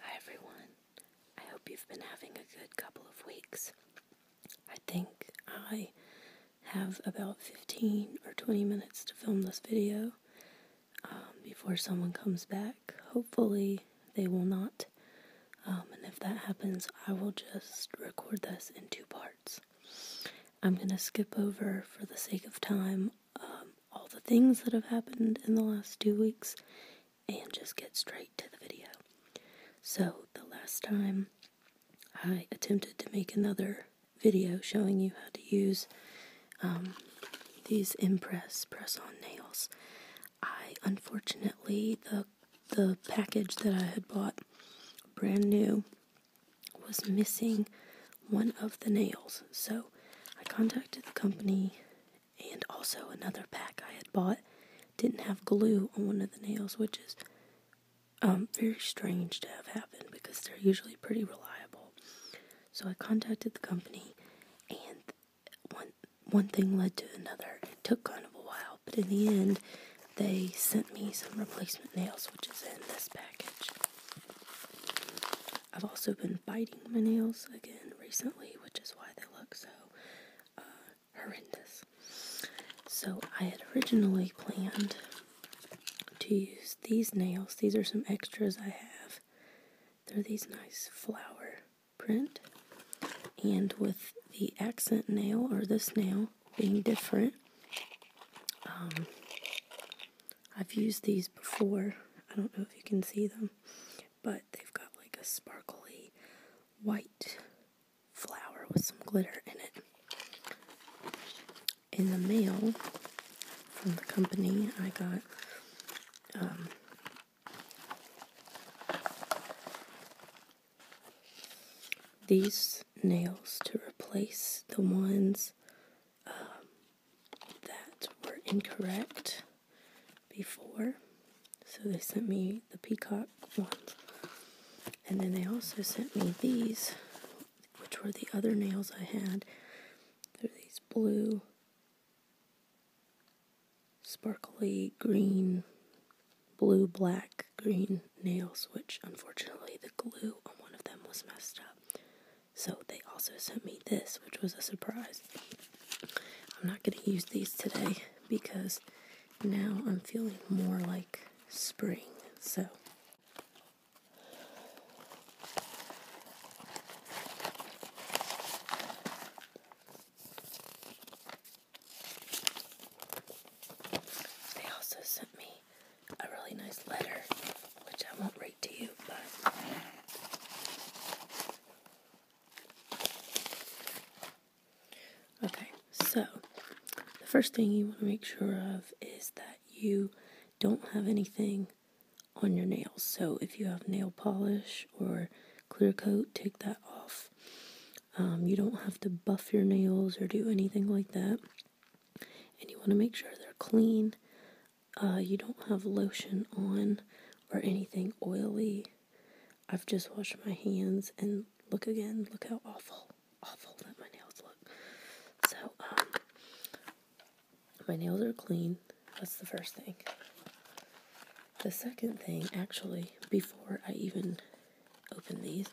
Hi everyone. I hope you've been having a good couple of weeks. I think I have about 15 or 20 minutes to film this video um, before someone comes back. Hopefully, they will not. Um, and if that happens, I will just record this in two parts. I'm going to skip over, for the sake of time, um, all the things that have happened in the last two weeks and just get straight to the video. So, the last time I attempted to make another video showing you how to use um, these Impress press on nails, I unfortunately, the, the package that I had bought brand new was missing one of the nails. So, I contacted the company and also, another pack I had bought didn't have glue on one of the nails, which is um, very strange to have happened because they're usually pretty reliable. So I contacted the company, and one one thing led to another. It took kind of a while, but in the end, they sent me some replacement nails, which is in this package. I've also been biting my nails again recently, which is why they look so uh, horrendous. So, I had originally planned to use these nails. These are some extras I have. They're these nice flower print. And with the accent nail, or this nail, being different, um, I've used these before. I don't know if you can see them, but they've got like a sparkly white flower with some glitter in it. In the mail from the company, I got um, these nails to replace the ones um, that were incorrect before. So they sent me the peacock ones. And then they also sent me these, which were the other nails I had. They're these blue, sparkly, green, blue, black, green nails, which unfortunately the glue on one of them was messed up. So they also sent me this, which was a surprise. I'm not going to use these today because now I'm feeling more like spring. So. They also sent me a really nice letter, which I won't read to you, but okay. So the first thing you want to make sure of is that you don't have anything on your nails. So if you have nail polish or clear coat, take that off. Um, you don't have to buff your nails or do anything like that. And you want to make sure they're clean. Uh, you don't have lotion on or anything oily. I've just washed my hands and look again, look how awful, awful that my nails look. So, um, my nails are clean. That's the first thing. The second thing, actually, before I even open these,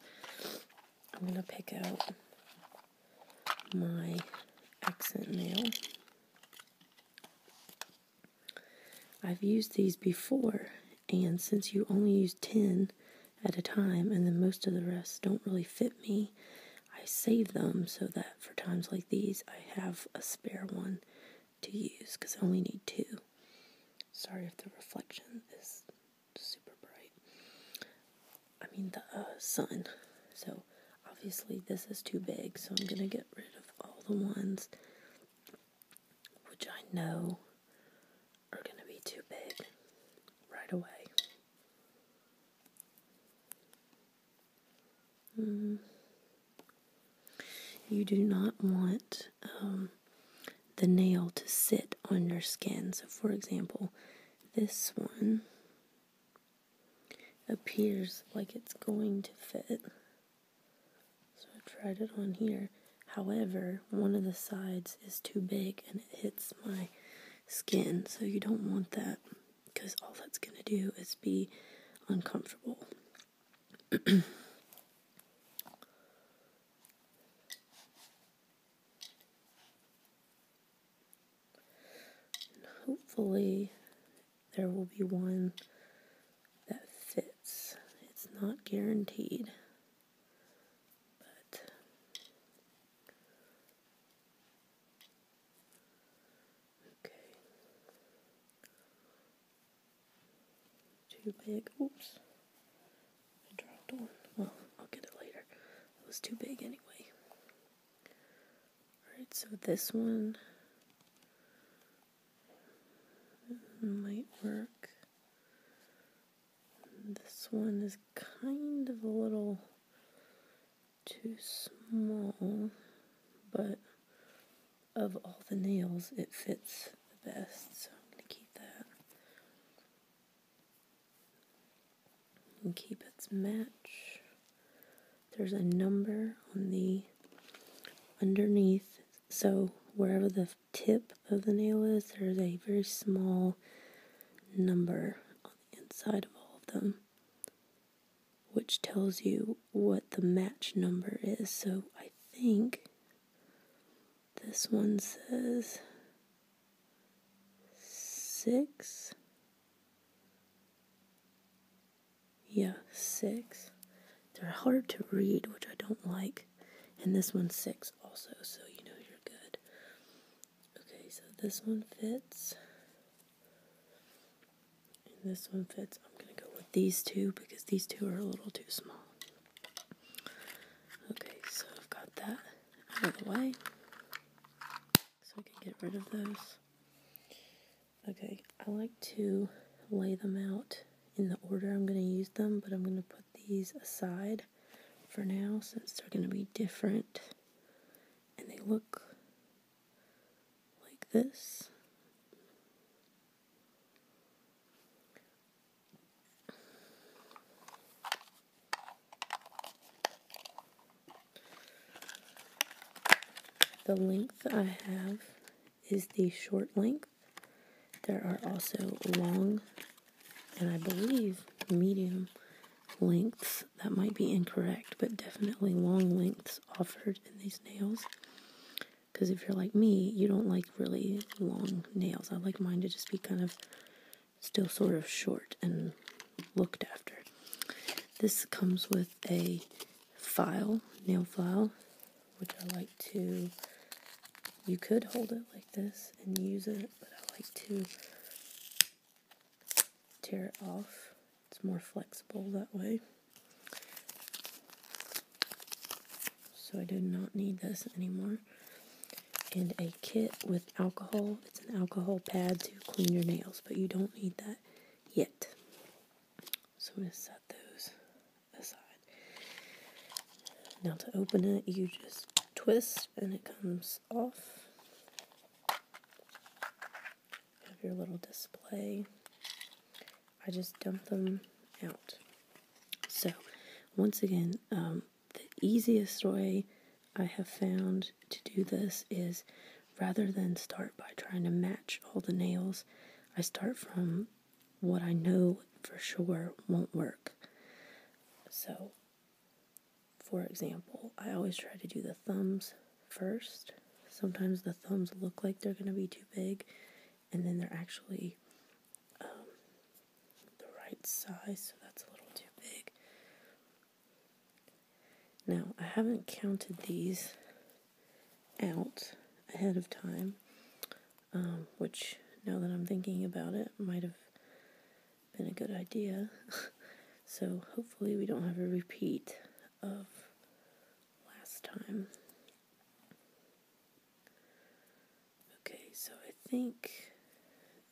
I'm going to pick out my accent nail. I've used these before, and since you only use 10 at a time, and then most of the rest don't really fit me, I save them so that for times like these, I have a spare one to use because I only need two. Sorry if the reflection is super bright. I mean, the uh, sun. So Obviously, this is too big, so I'm going to get rid of all the ones which I know are going to be too big right away. Mm. You do not want um, the nail to sit on your skin. So, for example, this one appears like it's going to fit. So I tried it on here. However, one of the sides is too big and it hits my skin, so you don't want that because all that's going to do is be uncomfortable hopefully, there will be one that fits. It's not guaranteed, but okay. Too big. Oops. I dropped one. Well, I'll get it later. It was too big anyway. Alright, so this one might work. This one is kind of a little too small, but of all the nails, it fits the best, so I'm going to keep that. And keep its match. There's a number on the underneath, so wherever the tip of the nail is, there's a very small number on the inside of all of them, which tells you what the match number is. So I think this one says six. Yeah, six. They're hard to read, which I don't like. And this one's six also, so you know you're good. Okay, so this one fits. And this one fits. I'm going to go with these two because these two are a little too small. Okay, so I've got that out of the way. So I can get rid of those. Okay, I like to lay them out in the order I'm going to use them, but I'm going to put these aside for now since they're going to be different. And they look like this. The length I have is the short length. There are also long and I believe medium lengths. That might be incorrect, but definitely long lengths offered in these nails. Because if you're like me, you don't like really long nails. I like mine to just be kind of still sort of short and looked after. This comes with a file, nail file, which I like to, you could hold it like this and use it, but I like to tear it off. It's more flexible that way. So I do not need this anymore. And a kit with alcohol. It's an alcohol pad to clean your nails, but you don't need that yet. So I'm gonna set those aside. Now to open it, you just twist and it comes off. have your little display. I just dump them out. So, once again, um, the easiest way I have found to do this is Rather than start by trying to match all the nails, I start from what I know for sure won't work. So, for example, I always try to do the thumbs first. Sometimes the thumbs look like they're going to be too big, and then they're actually um, the right size, so that's a little too big. Now, I haven't counted these out ahead of time, um, which now that I'm thinking about it might have been a good idea. so hopefully, we don't have a repeat of last time. Okay, so I think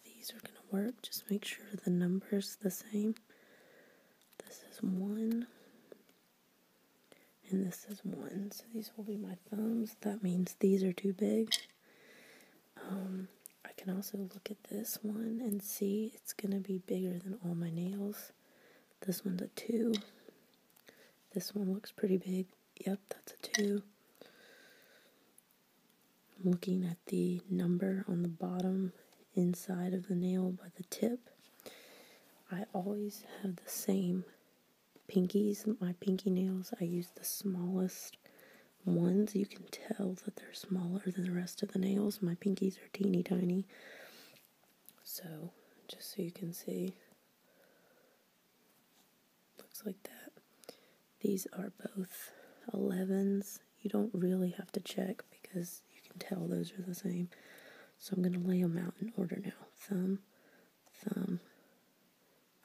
these are going to work. Just make sure the number's the same. This is one. And this is one. So these will be my thumbs. That means these are too big. Um, I can also look at this one and see it's going to be bigger than all my nails. This one's a two. This one looks pretty big. Yep, that's a two. I'm looking at the number on the bottom inside of the nail by the tip. I always have the same pinkies, my pinky nails. I use the smallest ones. You can tell that they're smaller than the rest of the nails. My pinkies are teeny tiny. So, just so you can see, looks like that. These are both 11s you don't really have to check because you can tell those are the same. So I'm going to lay them out in order now. Thumb, thumb,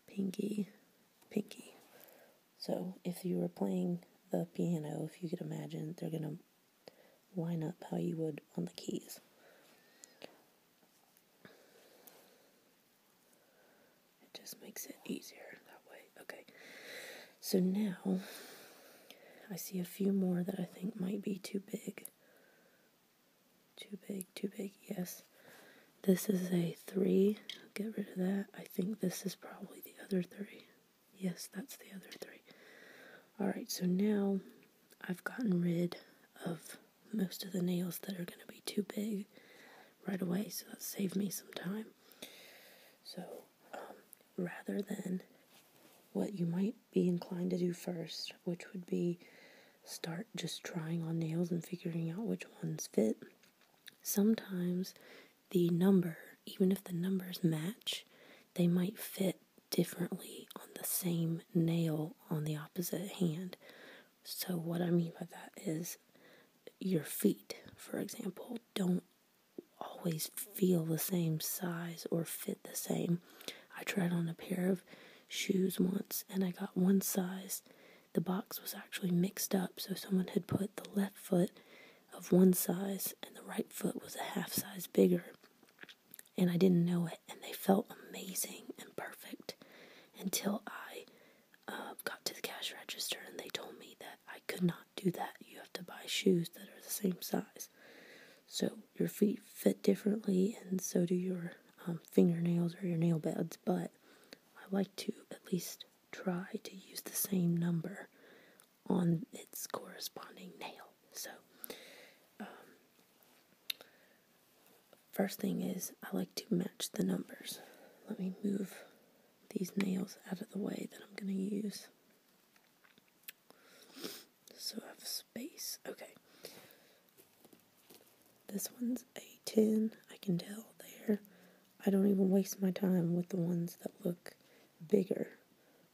pinky, pinky. So if you were playing the piano, if you could imagine, they're going to line up how you would on the keys. It just makes it easier that way. Okay. So now I see a few more that I think might be too big. Too big, too big, yes. This is a three. Get rid of that. I think this is probably the other three. Yes, that's the other three. Alright, so now I've gotten rid of most of the nails that are going to be too big right away, so that saved me some time. So um, rather than what you might be inclined to do first, which would be start just trying on nails and figuring out which ones fit. Sometimes the number, even if the numbers match, they might fit differently on the same nail on the opposite hand. So, what I mean by that is your feet, for example, don't always feel the same size or fit the same. I tried on a pair of shoes once and I got one size. The box was actually mixed up, so someone had put the left foot of one size and the right foot was a half size bigger. And I didn't know it, and they felt amazing and perfect until I uh, got to the cash register and they told me that I could not do that. You have to buy shoes that are the same size. So your feet fit differently, and so do your um, fingernails or your nail beds. But I like to at least try to use the same number on its corresponding nail. So, um, first thing is I like to match the numbers. Let me move these nails out of the way that I'm going to use. So I have space. Okay. This one's a 10. I can tell there. I don't even waste my time with the ones that look bigger.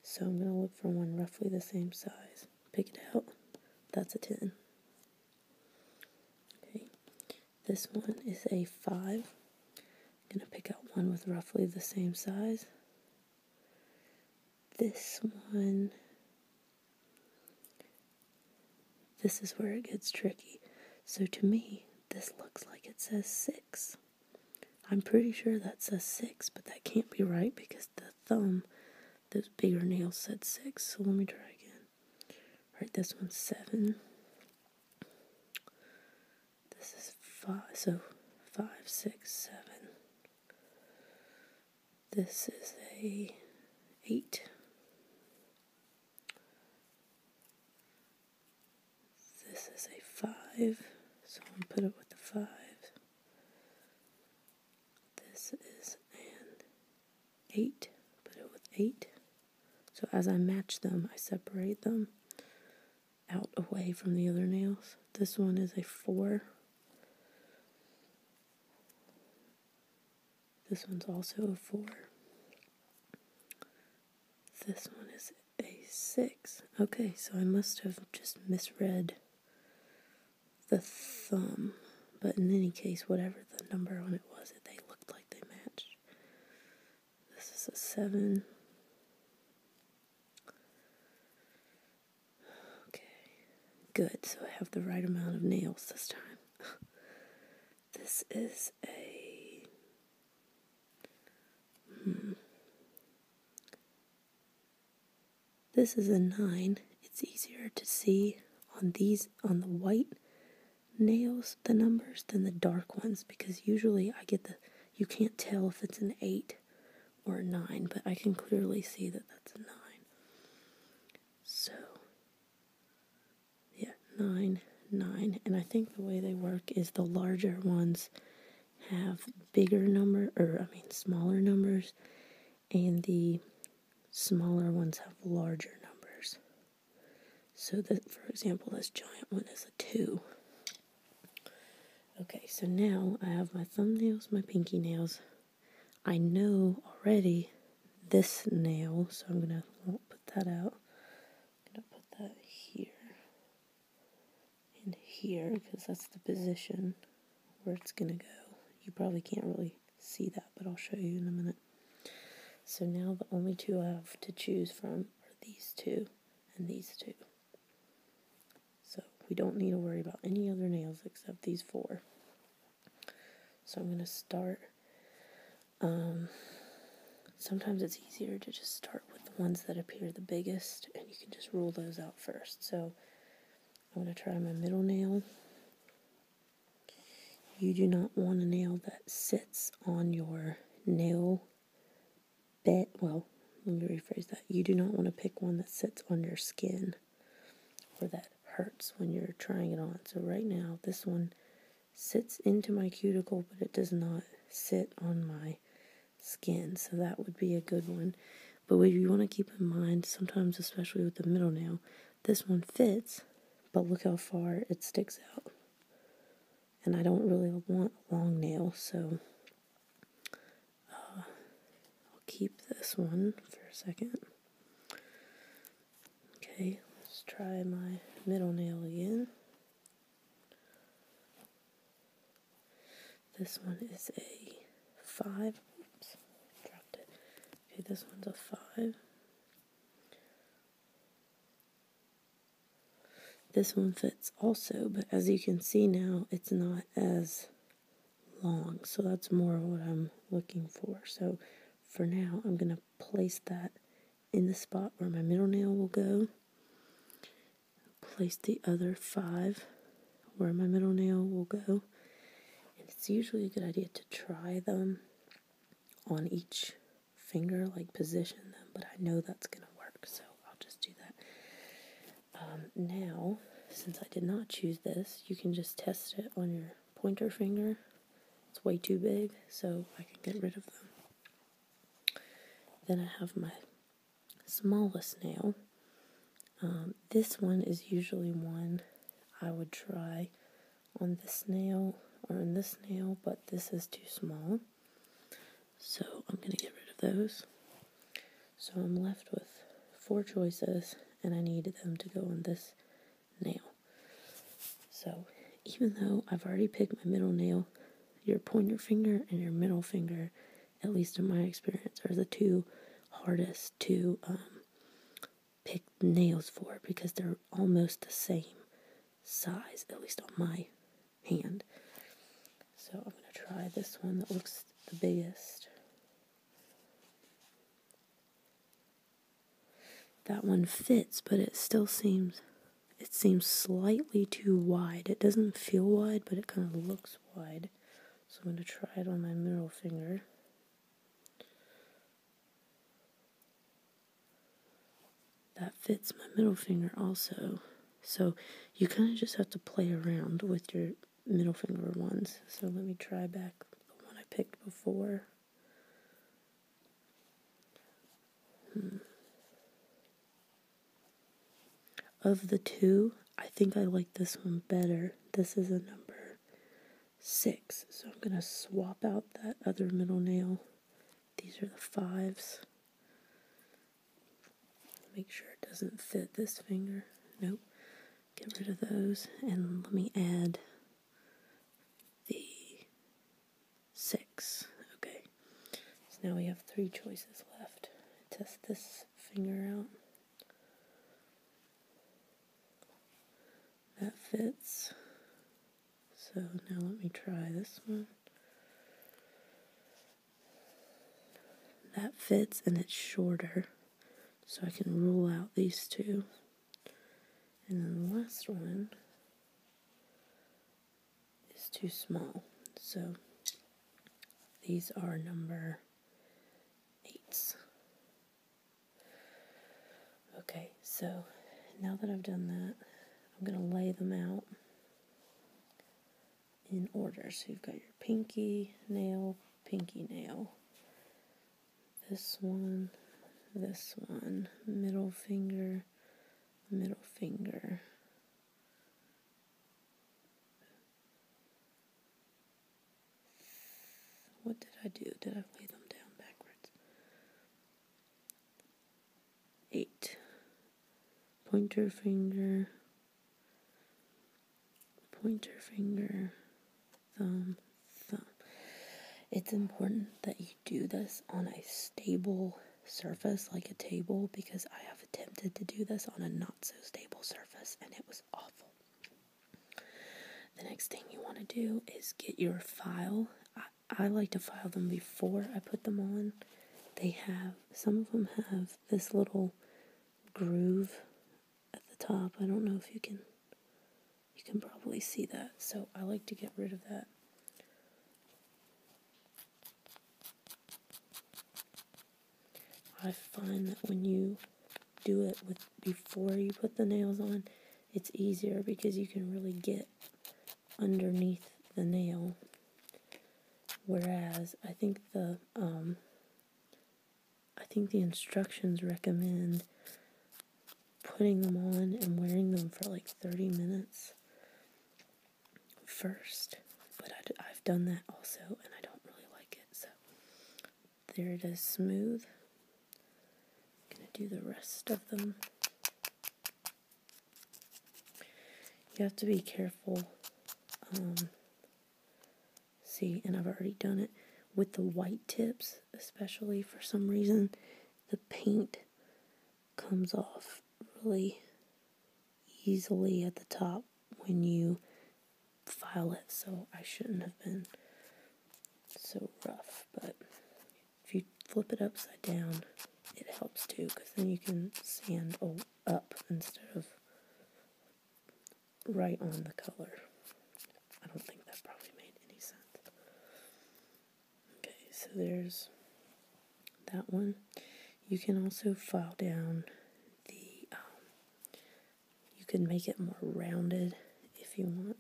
So I'm going to look for one roughly the same size. Pick it out. That's a 10. Okay. This one is a 5. I'm going to pick out one with roughly the same size. This one. This is where it gets tricky. So to me, this looks like it says six. I'm pretty sure that says six, but that can't be right because the thumb, those bigger nails said six. So let me try again. Right, this one's seven. This is five, so five, six, seven. This is a eight. This is a five, so I'm put it with the five. This is an eight, put it with eight. So as I match them, I separate them out away from the other nails. This one is a four. This one's also a four. This one is a six. Okay, so I must have just misread the thumb. But in any case, whatever the number on it was, they looked like they matched. This is a seven. Okay, good. So I have the right amount of nails this time. this is a. Hmm. This is a nine. It's easier to see on these, on the white nails, the numbers, than the dark ones because usually I get the. You can't tell if it's an eight or 9, but I can clearly see that that's 9. So, yeah, 9, 9. And I think the way they work is the larger ones have bigger number, or I mean smaller numbers, and the smaller ones have larger numbers. So that, for example, this giant one is a 2. Okay, so now I have my thumbnails, my pinky nails. I know already this nail, so I'm gonna put that out. I'm gonna put that here and here because that's the position where it's gonna go. You probably can't really see that, but I'll show you in a minute. So now the only two I have to choose from are these two and these two. So we don't need to worry about any other nails except these four. So I'm going to start. Um, sometimes it's easier to just start with the ones that appear the biggest and you can just rule those out first. So I'm going to try my middle nail. You do not want a nail that sits on your nail bet, well, let me rephrase that. You do not want to pick one that sits on your skin or that hurts when you're trying it on. So right now, this one sits into my cuticle, but it does not sit on my skin. So that would be a good one. But what you want to keep in mind, sometimes, especially with the middle nail, this one fits, but look how far it sticks out. And I don't really want a long nail, so I'll keep this one for a second. Okay, let's try my middle nail again. This one is a 5. Oops, dropped it. Okay, this one's a 5. This one fits also, but as you can see now, it's not as long. So that's more what I'm looking for. So for now, I'm going to place that in the spot where my middle nail will go. Place the other five where my middle nail will go. And it's usually a good idea to try them on each finger, like position them, but I know that's going to work. So I'll just do that. Um, now, since I did not choose this, you can just test it on your pointer finger. It's way too big, so I can get rid of them. Then I have my smallest nail. Um, this one is usually one I would try on this nail or on this nail, but this is too small. So I'm going to get rid of those. So I'm left with four choices, and I need them to go on this nail. So even though I've already picked my middle nail, your pointer finger and your middle finger, at least in my experience, are the two hardest to um, pick nails for because they're almost the same size, at least on my hand. So I'm going to try this one that looks the biggest. That one fits, but it still seems it seems slightly too wide. It doesn't feel wide, but it kind of looks wide. So I'm going to try it on my middle finger. That fits my middle finger also. So you kind of just have to play around with your middle finger ones. So let me try back the one I picked before. Hmm. Of the two, I think I like this one better. This is a number six. So I'm going to swap out that other middle nail. These are the fives. Make sure it doesn't fit this finger. Nope. Get rid of those. And let me add the six. Okay. So now we have three choices left. Test this finger out. That fits. So now let me try this one. That fits and it's shorter. So I can rule out these two. And then the last one is too small. So these are number eight. Okay, so now that I've done that, I'm going to lay them out in order. So you've got your pinky nail, pinky nail. This one, this one, middle finger, middle finger. What did I do? Did I lay them down backwards? Eight pointer finger, pointer finger, thumb, thumb. It's important that you do this on a stable surface like a table because I have attempted to do this on a not so stable surface and it was awful. The next thing you want to do is get your file. I, like to file them before I put them on. They have, some of them have this little groove at the top. I don't know if you can you can probably see that. So I like to get rid of that. I find that when you do it with before you put the nails on, it's easier because you can really get underneath the nail. Whereas I think the um, I think the instructions recommend putting them on and wearing them for like 30 minutes first, but I, have done that also and I don't really like it. So there it is, smooth. I'm gonna do the rest of them. You have to be careful. Um, see, and I've already done it with the white tips, especially for some reason, the paint comes off really easily at the top when you file it. So I shouldn't have been so rough, but if you flip it upside down, it helps too because then you can sand up instead of right on the color. I don't think that probably made any sense. Okay, so there's that one. You can also file down the, um, you can make it more rounded if you want.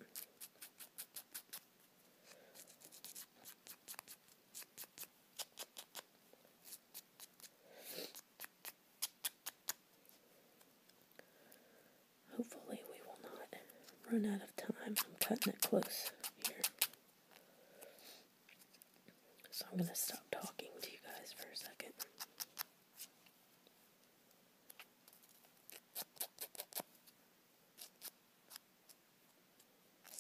Hopefully we will not run out of time. I'm cutting it close here. So I'm going to stop talking to you guys for a second.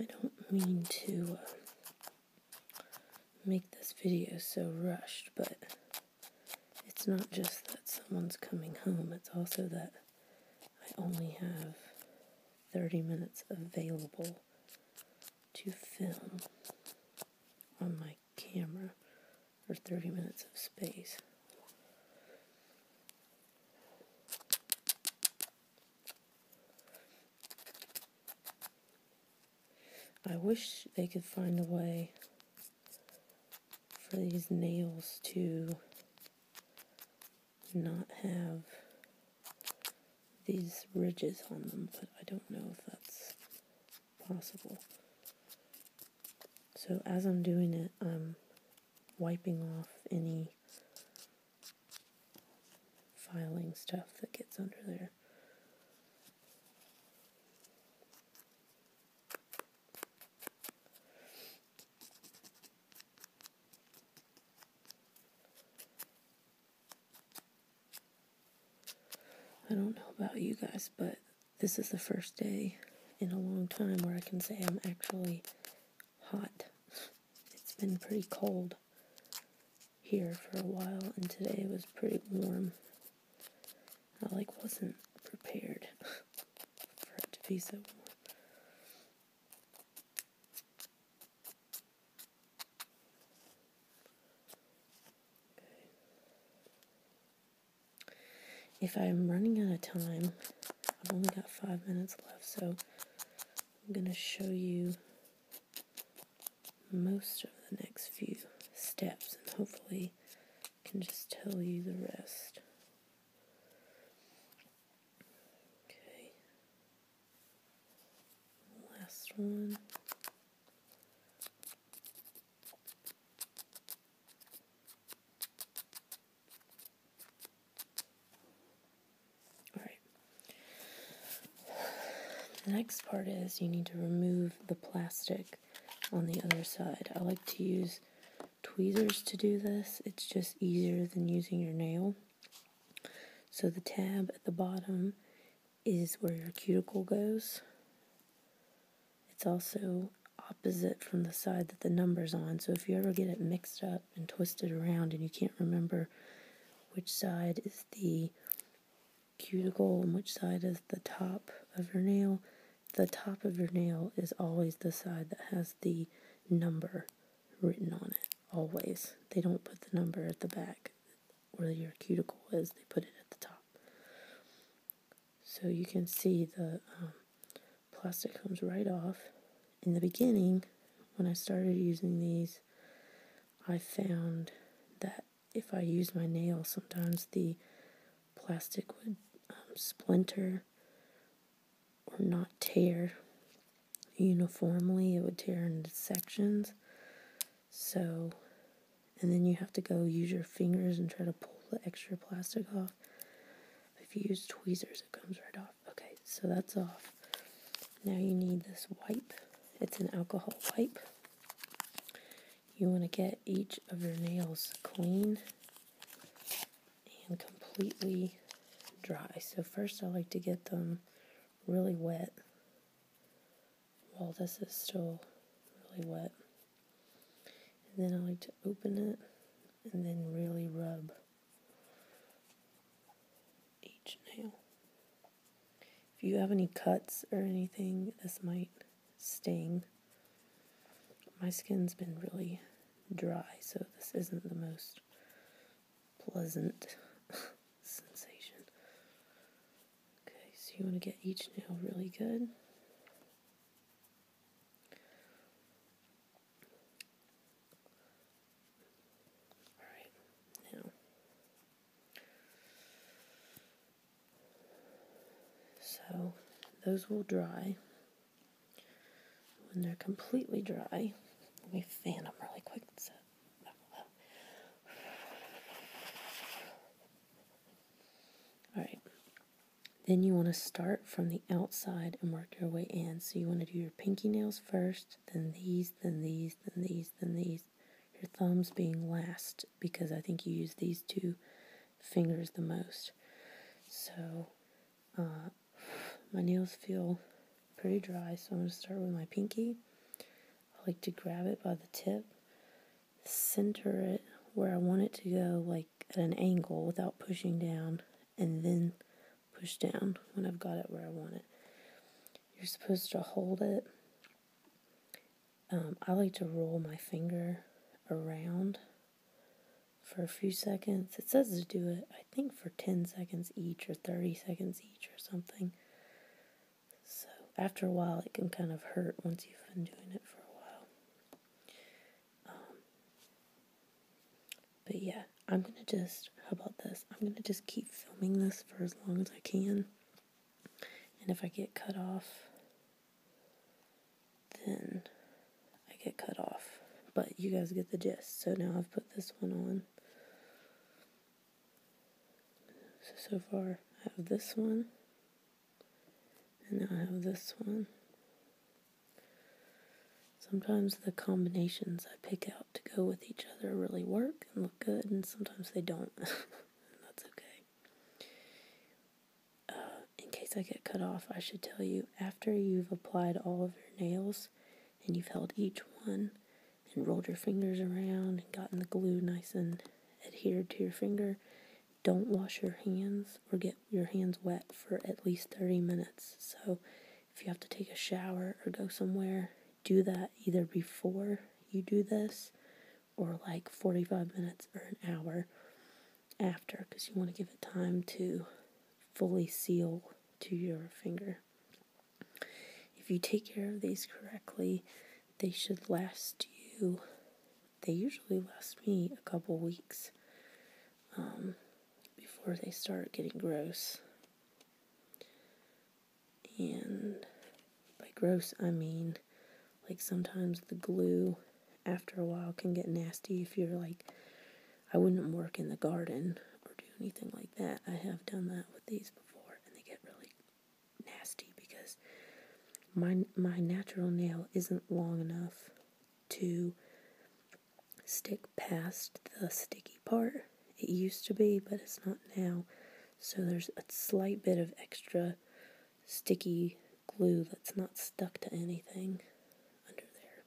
I don't mean to uh, make this video so rushed, but it's not just that someone's coming home, it's also that I only have 30 minutes available to film on my camera, or 30 minutes of space. I wish they could find a way for these nails to not have these ridges on them, but I don't know if that's possible. So as I'm doing it, I'm wiping off any filing stuff that gets under there. I don't know about you guys, but this is the first day in a long time where I can say I'm actually hot. It's been pretty cold here for a while, and today it was pretty warm. I like wasn't prepared for it to be so warm. If I'm running out of time, I've only got five minutes left, so I'm going to show you most of the next few steps and hopefully can just tell you the rest. Okay. Last one. All right. The next part is you need to remove the plastic on the other side. I like to use tweezers to do this. It's just easier than using your nail. So the tab at the bottom is where your cuticle goes. It's also opposite from the side that the number's on. So if you ever get it mixed up and twisted around and you can't remember which side is the cuticle and which side is the top of your nail, the top of your nail is always the side that has the number written on it always. They don't put the number at the back where your cuticle is, they put it at the top. So you can see the um, plastic comes right off. In the beginning, when I started using these, I found that if I use my nail, sometimes the plastic would um, splinter or not tear uniformly, it would tear into sections. So, and then you have to go use your fingers and try to pull the extra plastic off. If you use tweezers, it comes right off. Okay, so that's off. Now you need this wipe. It's an alcohol wipe. You want to get each of your nails clean and completely dry. So first I like to get them really wet. While well, this is still really wet. And then I like to open it and then really rub each nail. If you have any cuts or anything, this might sting. My skin's been really dry, so this isn't the most pleasant sensation. Okay, so you want to get each nail really good. Alright, now. So, those will dry. When they're completely dry, we fan them really quick. All right. Then you want to start from the outside and work your way in. So you want to do your pinky nails first, then these, then these, then these, then these. Your thumbs being last because I think you use these two fingers the most. So uh, my nails feel pretty dry, so I'm going to start with my pinky. I like to grab it by the tip, center it where I want it to go, like at an angle without pushing down, and then push down when I've got it where I want it. You're supposed to hold it. Um, I like to roll my finger around for a few seconds. It says to do it, I think, for 10 seconds each or 30 seconds or something. So after a while, it can kind of hurt once you've been doing it for a while. Um, but yeah, I'm gonna just, how about this? I'm gonna just keep filming this for as long as I can. And if I get cut off, then I get cut off. But you guys get the gist. So now I've put this one on. So, far I have this one, and now I have this one. Sometimes the combinations I pick out to go with each other really work and look good, and sometimes they don't. that's okay. Uh, in case I get cut off, I should tell you after you've applied all of your nails, and you've held each one and rolled your fingers around and gotten the glue nice and adhered to your finger, don't wash your hands or get your hands wet for at least 30 minutes. So if you have to take a shower or go somewhere, do that either before you do this or like 45 minutes or an hour after because you want to give it time to fully seal to your finger. If you take care of these correctly, they should last you, they usually last me a couple weeks um, before they start getting gross. And by gross, I mean like sometimes the glue after a while can get nasty if you're like, I wouldn't work in the garden or do anything like that. I have done that with these before, and they get really nasty because my my natural nail isn't long enough to stick past the sticky part. It used to be, but it's not now. So there's a slight bit of extra sticky glue that's not stuck to anything under there.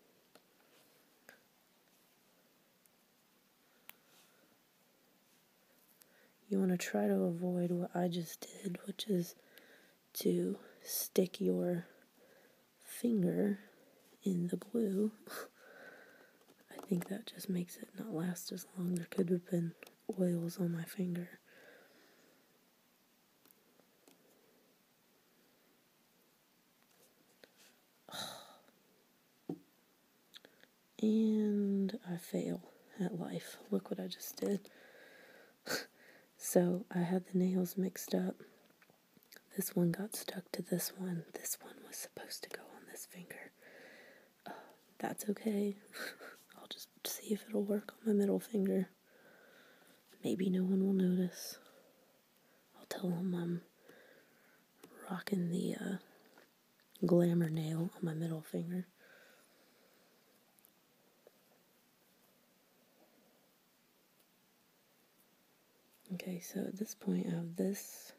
You want to try to avoid what I just did, which is to stick your finger in the glue. I think that just makes it not last as long. There could have been oils on my finger. And I fail at life. Look what I just did. so I had the nails mixed up. This one got stuck to this one. This one was supposed to go on this finger. Uh, that's okay. I'll just see if it'll work on my middle finger. Maybe no one will notice. I'll tell them I'm rocking the uh, glamour nail on my middle finger. Okay, so at this point I have this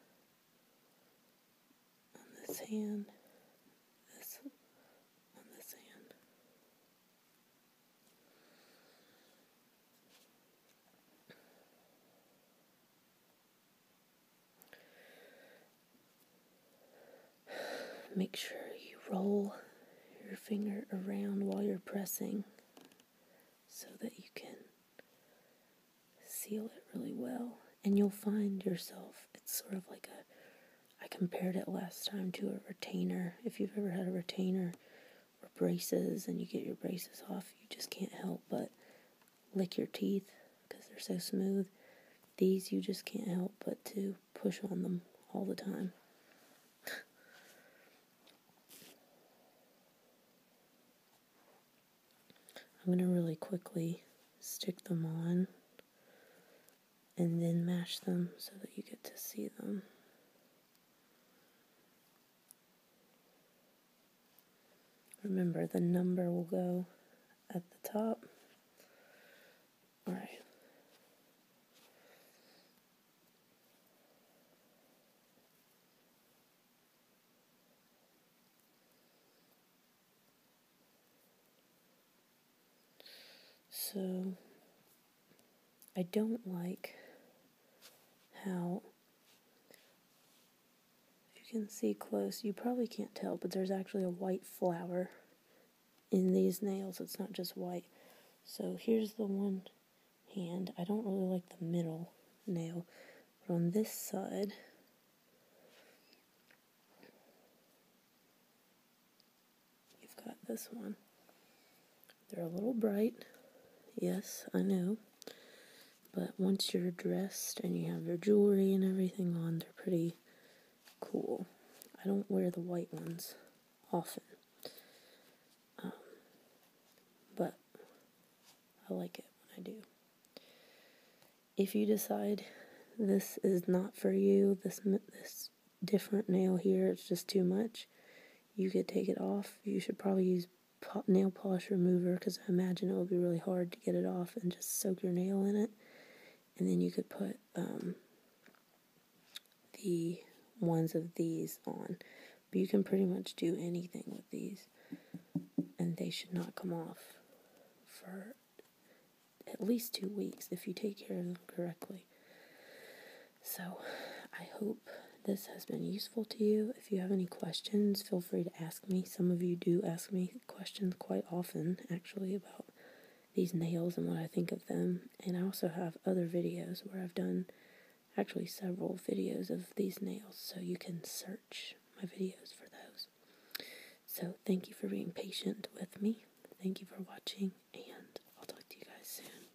on this hand, this on this hand. Make sure you roll your finger around while you're pressing so that you can seal it really well. And you'll find yourself, it's sort of like a, I compared it last time to a retainer. If you've ever had a retainer or braces and you get your braces off, you just can't help but lick your teeth because they're so smooth. These you just can't help but to push on them all the time. I'm going to really quickly stick them on and then mash them so that you get to see them. Remember, the number will go at the top. All right. So I don't like how if you can see close, you probably can't tell, but there's actually a white flower in these nails. It's not just white. So here's the one hand. I don't really like the middle nail, but on this side, you've got this one. They're a little bright. Yes, I know. But once you're dressed and you have your jewelry and everything on, they're pretty cool. I don't wear the white ones often. Um, but I like it when I do. If you decide this is not for you, this this different nail here, it's just too much, you could take it off. You should probably use nail polish remover because I imagine it will be really hard to get it off and just soak your nail in it. And then you could put um, the ones of these on. But you can pretty much do anything with these, and they should not come off for at least two weeks if you take care of them correctly. So I hope this has been useful to you. If you have any questions, feel free to ask me. Some of you do ask me questions quite often, actually, about these nails and what I think of them. And I also have other videos where I've done actually several videos of these nails, so you can search my videos for those. So, thank you for being patient with me. Thank you for watching, and I'll talk to you guys soon.